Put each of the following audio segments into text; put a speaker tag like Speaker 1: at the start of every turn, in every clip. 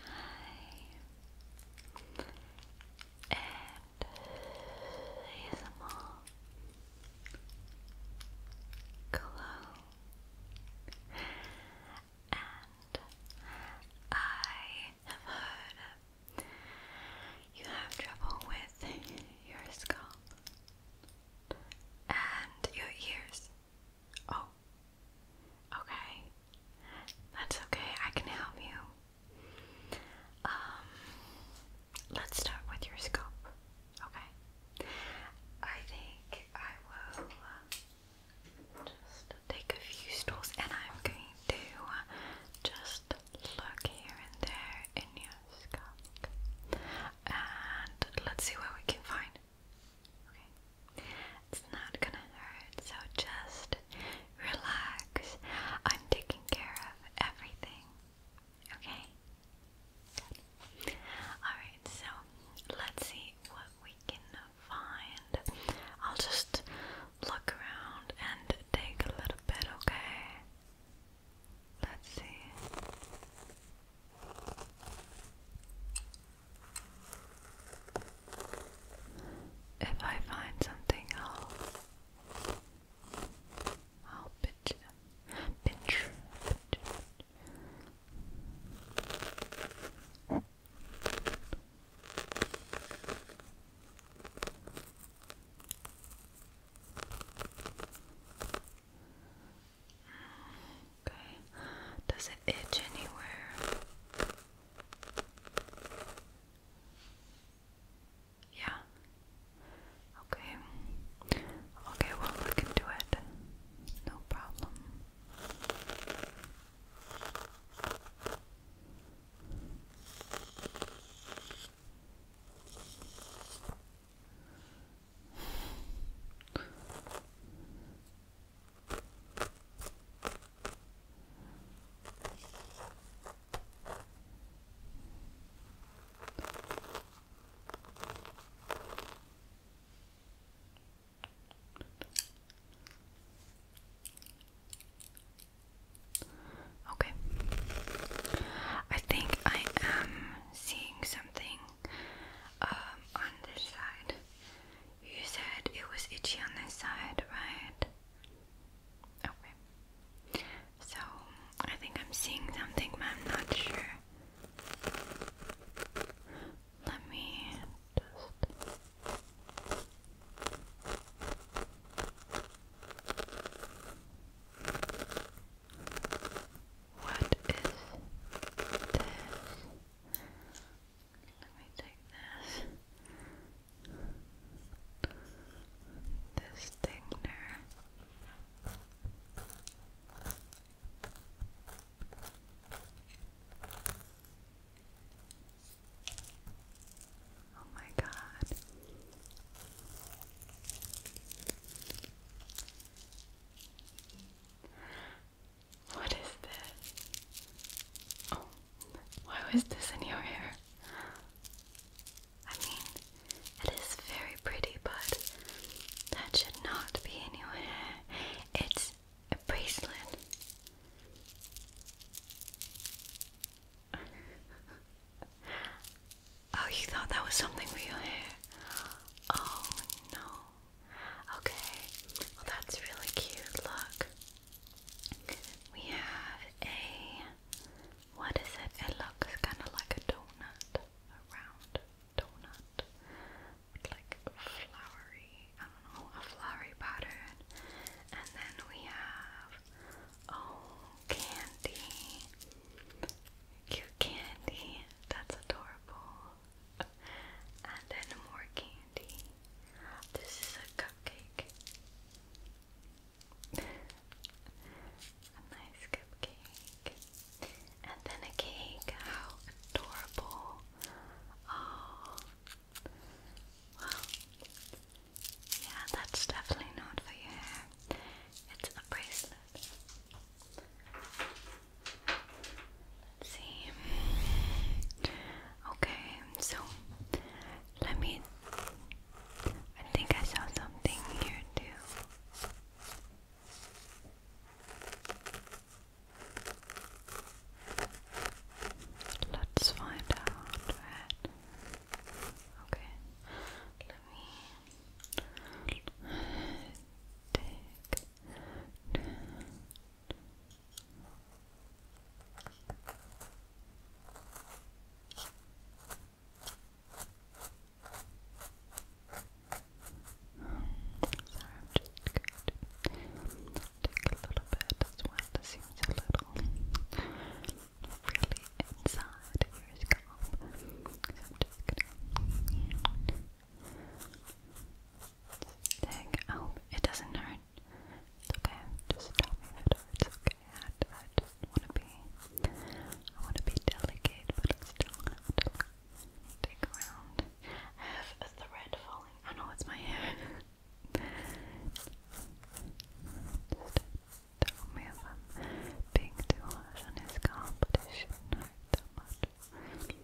Speaker 1: Hi, and ASMR glow, and I have heard you have trouble with your scalp and your ears. Oh. Okay. That's okay. I can help you. Um let's start with your scope. Okay. I think I will uh, just take a few stools and I'm going to uh, just look here and there in your scope. And let's see what we can find. It's not gonna hurt, so just relax. I'm taking care of everything. Okay? Alright, so let's see what we can find. I'll just look around and take a little bit, okay? Let's see. If I find something, I'll I'll pitch, pitch, Okay. Does it itch anywhere? Yeah. Okay. Okay, we'll look it. No problem. Okay. I think I am seeing something um, on this side. You said it was itchy on this side, right? Okay. So, I think I'm seeing something, but I'm not sure. Let me just. What is this? Let me take this. This thing there. Oh my god. What is this? Oh, why was this in your hair? I mean, it is very pretty, but that should not be in your hair. It's a bracelet. oh, you thought that was something for your hair? Oh no. Okay. that's really cute. Look. We have a. What is it? It looks kind of like a donut. A round donut. With like a flowery. I don't know. A flowery pattern. And then we have. Oh, candy. Cute candy. That's adorable. And then more candy. This is a cupcake. a nice cupcake. And then a cake. How adorable. Oh. Well, yeah, that's definitely not for your hair. It's a bracelet. Let's Okay, so let me. I think I saw something here too. Let's find out. Okay, let me Take a little bit as well. It seems a little really inside hair off. it doesn't hurt. okay, just tell me that it hurts, okay? I, just wanna be, I wanna be delicate, but still have around. I have a thread falling, I know it's my hair. just tell me if I'm being too harsh on his car, but much. Okay.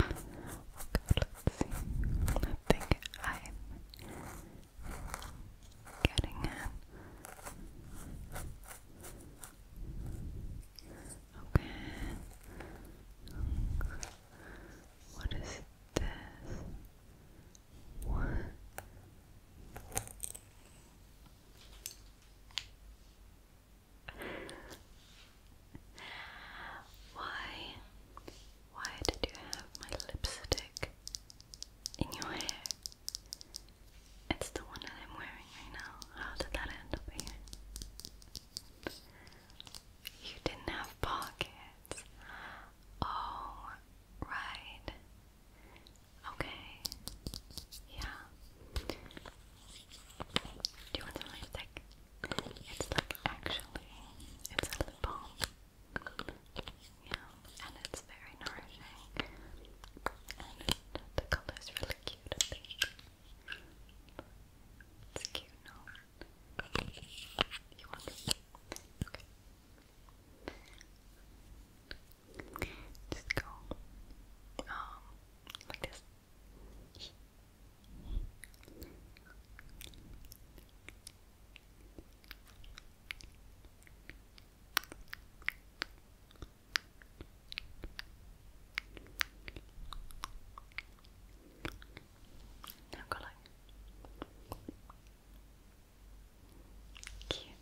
Speaker 1: Okay, let's see. I think I'm getting in. Okay. What is this? What? Why? Why did you have my lipstick in your hair? It's the one that I'm wearing right now. How did that end up here? You didn't have pockets. Oh, right. Okay. Yeah. Do you want some lipstick? It's like actually, it's a lip balm. Yeah, and it's very nourishing. And the color is really cute, I think. It's cute, no? You want it? Okay. Just go um like this. Now go like. Cute.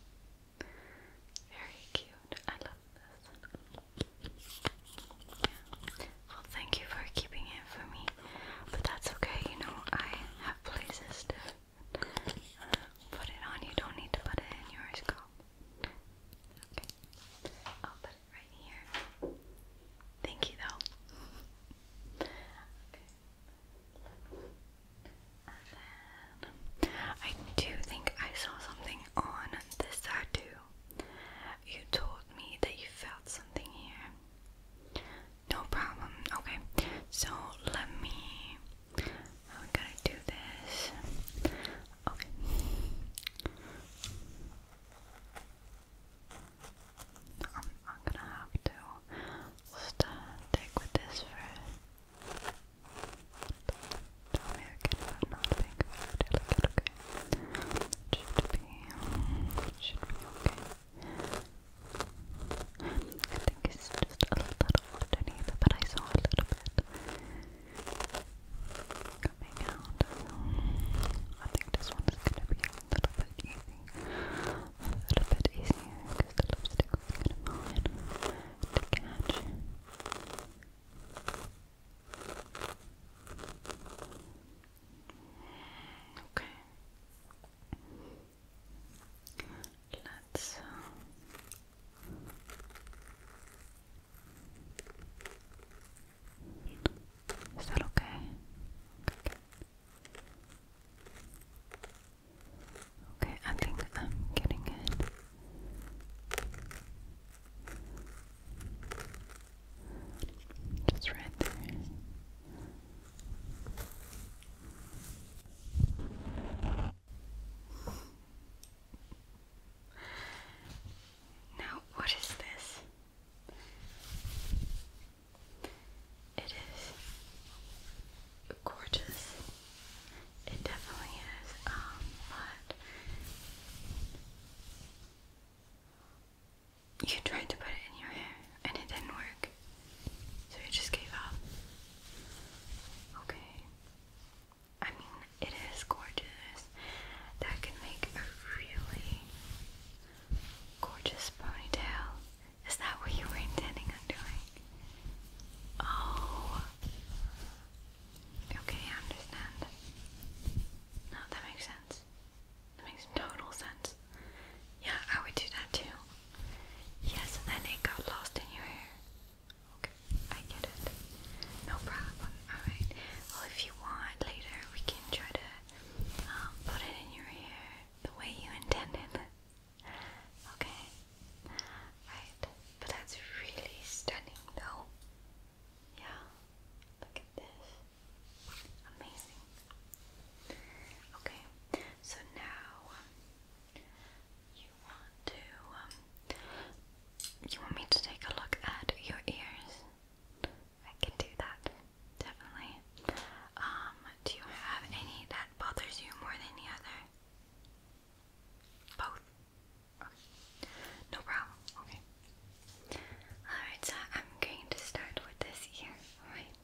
Speaker 1: Very cute. I love this. Well, thank you for keeping it for me. But that's okay, you know, I have places to uh, put it on. You don't need to put it in your scalp. Okay. I'll put it right here. Thank you, though. I do think I saw something on this side too. You told me that you felt something here. No problem. Okay. So let me how we going do this? Okay. I'm, gonna have to start take with this first okay? should be, okay. I think it's just a little underneath, but I saw a little bit coming out. I think this one is going to be a little bit easy a little bit easier because the lipstick was kind of hard to catch. Okay. Let's. is that okay. Okay, I think I'm getting it. Just right there. Now, what is this? It is gorgeous. It definitely is. Um, but you tried to put it in your hair and it didn't work. So you just gave up. Okay. I mean, it is gorgeous. That can make a really gorgeous ponytail. Is that what you were intending on doing? Oh. Okay, I understand. No, that makes sense. That makes total sense. Yeah, I would do that too. Yes, and then it got lost in your hair. Okay, I get it. No problem. Alright. Well, if you want, later we can try to um, put it in your hair the way you intended. Okay. Right. But that's really stunning though. Yeah. Look at this. Amazing. Okay. So now um, you want to um, you want me to take a look at your ears? I can do that. Definitely. Um do you have any that bothers you more than the other? Both. Okay. No problem. Okay. Alright, so I'm going to start with this ear. Alright.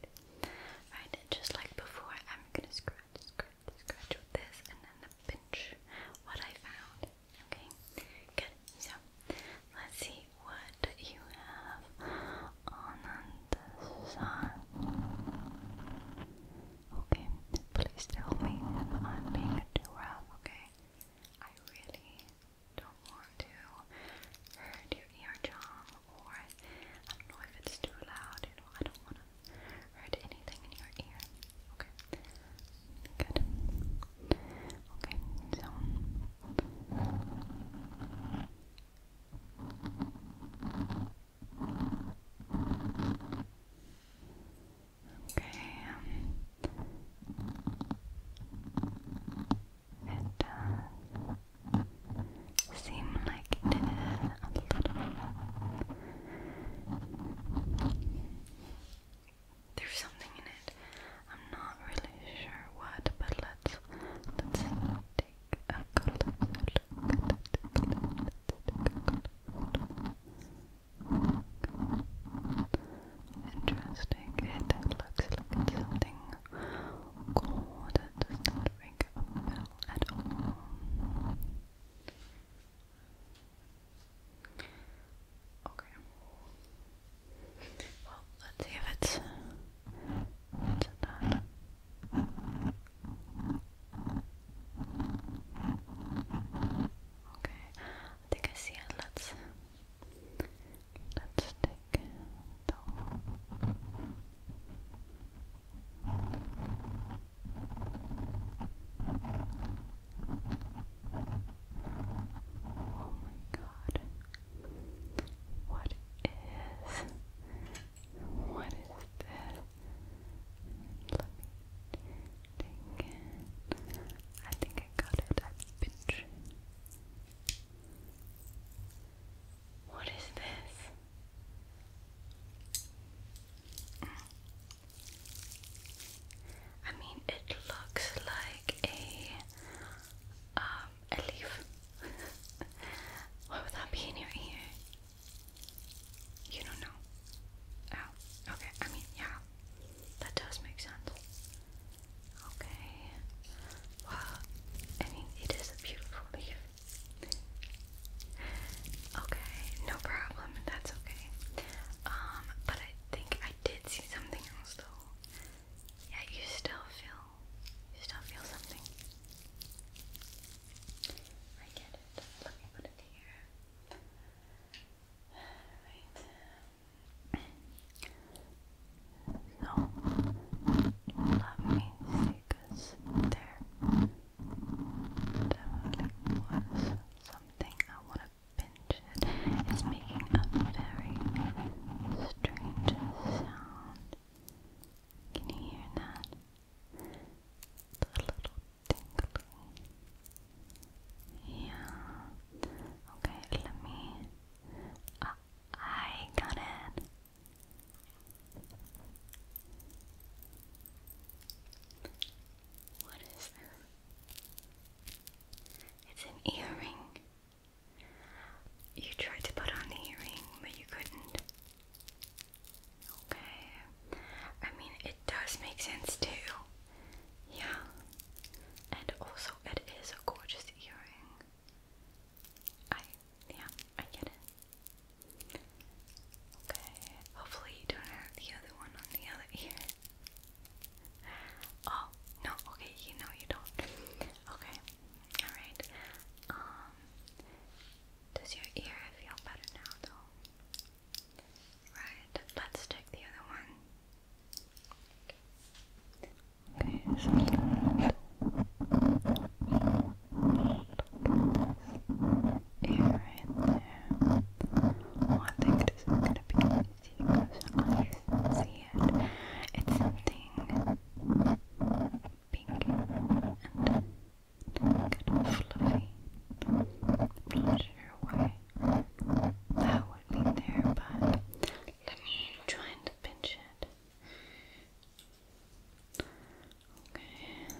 Speaker 1: Right, just like before, I'm gonna scratch, scratch, scratch with this and then pinch what I found. Okay? Good. So let's see what you have anand oh, Okay, please tell me if I'm being too rough, okay? I really don't want to hurt your eardrum or I don't know if it's too loud, you I don't want to hurt anything in your ear. Okay. Good. Okay, so Okay. It does like There's something in it. I'm not really sure what, but let's let's see take Interesting, it looks like something cool that does not at all. Okay. Well, let's see if it's, it's Okay, I think I see it. Let's let's take the Oh my god. What is what is this? Let me take I think I got it. I've been trained. What is this? I mean, it looks like a uh, a leaf. Why would that be in your ear? You don't know. Oh, okay. I mean, yeah, that does make sense. Okay. Well, I mean, it is a beautiful leaf. Okay, no problem. That's okay. Um, but I think I did see something else though. Yeah, you still feel you still feel something? I get it. Let me put it here. Right. So, me because there definitely was something I want to pinch it. It's making a very strange sound. Can you hear that? The little tingly. Yeah. Okay, let me. Uh, I got it. What is this? It's an earring. You tried to put on the earring, but you couldn't. Okay. I mean, it does make sense too. Yeah. And also, it is a gorgeous earring. I, yeah, I get it. Okay. Hopefully, you don't have the other one on the other ear. Oh, no, okay, you know you don't. Okay. Alright. Um, does your ear feel better now though? Right, let's check the other one. Okay, so ear right there. Oh, I think this is gonna be easy because I see it. It's something pink and fluffy. I'm not sure why that would be there, but let me try and pinch it. Okay.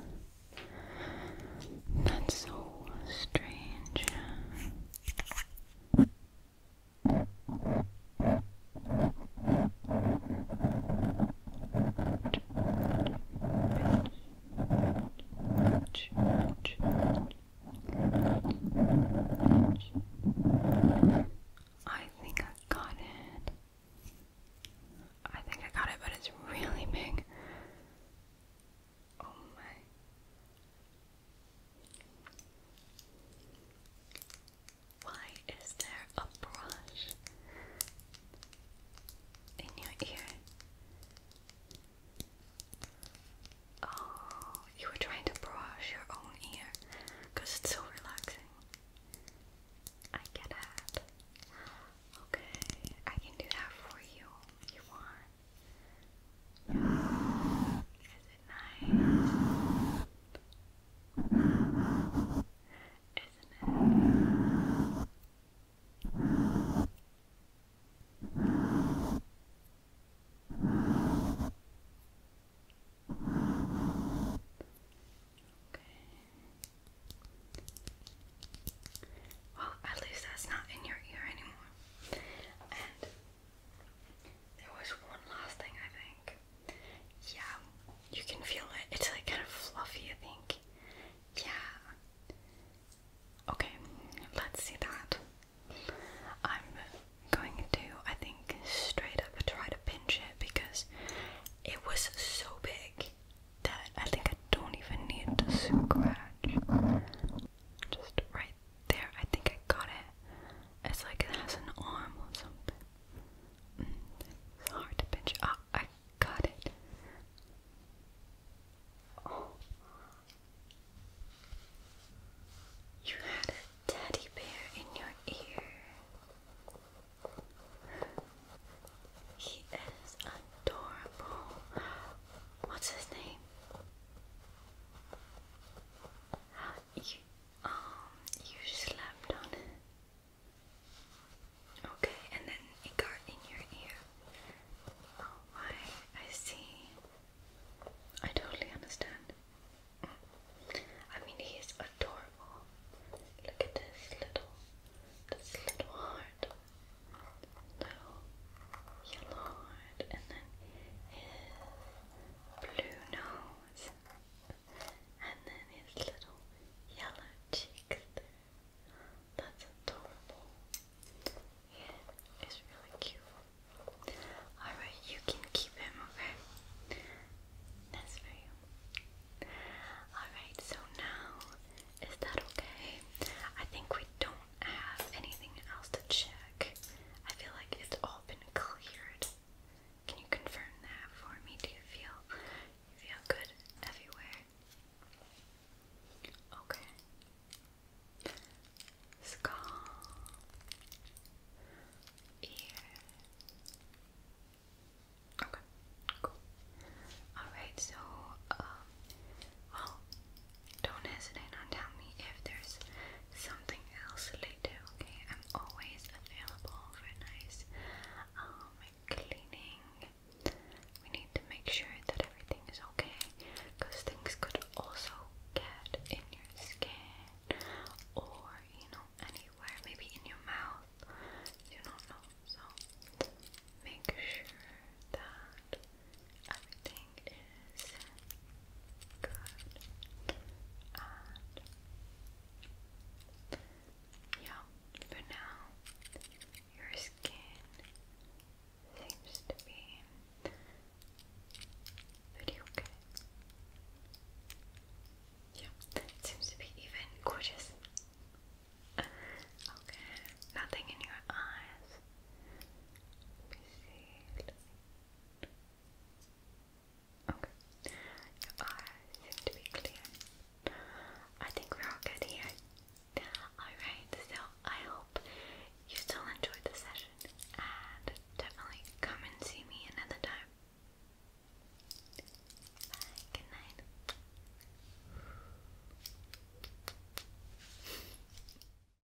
Speaker 1: That's so strange. I think I got it. I think I got it, but it's really big. Oh my. Why is there a brush in your ear? Oh, you were trying to brush your own ear because it's so relaxing. I get it. Okay, I can do that for you if you want. Is it nice? Isn't it? Okay. Well, at least that's not in your ear anymore. And there was one last thing I think. Yeah, you can feel it. It's like kind of fluffy, I think. Yeah. Okay, let's see that. I'm going to, I think, straight up try to pinch it because it was so big that I think I don't even need to scratch. Just right there, I think I got it. It's like it has an arm or something. Mm, it's hard to pinch. Ah, I got it. Oh. You had a teddy bear in your ear. He is adorable. What's his name? You, um, you slept on it. Okay, and then it got in your ear. Oh, I, I see. I totally understand. I mean, he is adorable. Look at this little, this little heart. Little yellow heart, and then blue nose, and then his little yellow cheeks there. That's adorable. Yeah, it's really cute. Alright, you can keep him, okay? That's for Alright, so now, is that okay? I think we don't have anything else to check. I feel like it's all all been cleared. Can you confirm that for me? Do you feel feel good everywhere? Okay. Skull. Ear. Okay. Cool. All right. So, um, well, don't hesitate on tell me if there's something else later, okay? I'm always available for nice um, cleaning. We need to make sure that everything is okay because things could also get in your skin or, you know, anywhere, maybe in your mouth. You don't know. So make sure that everything is good and yeah, for now your skin seems to be pretty okay. Yeah, seems to be even gorgeous. Okay, nothing in your eyes. Okay. to be clear. I think we all good here. Alright, so I hope you still enjoyed the session and definitely come and see me another time. Bye, good night.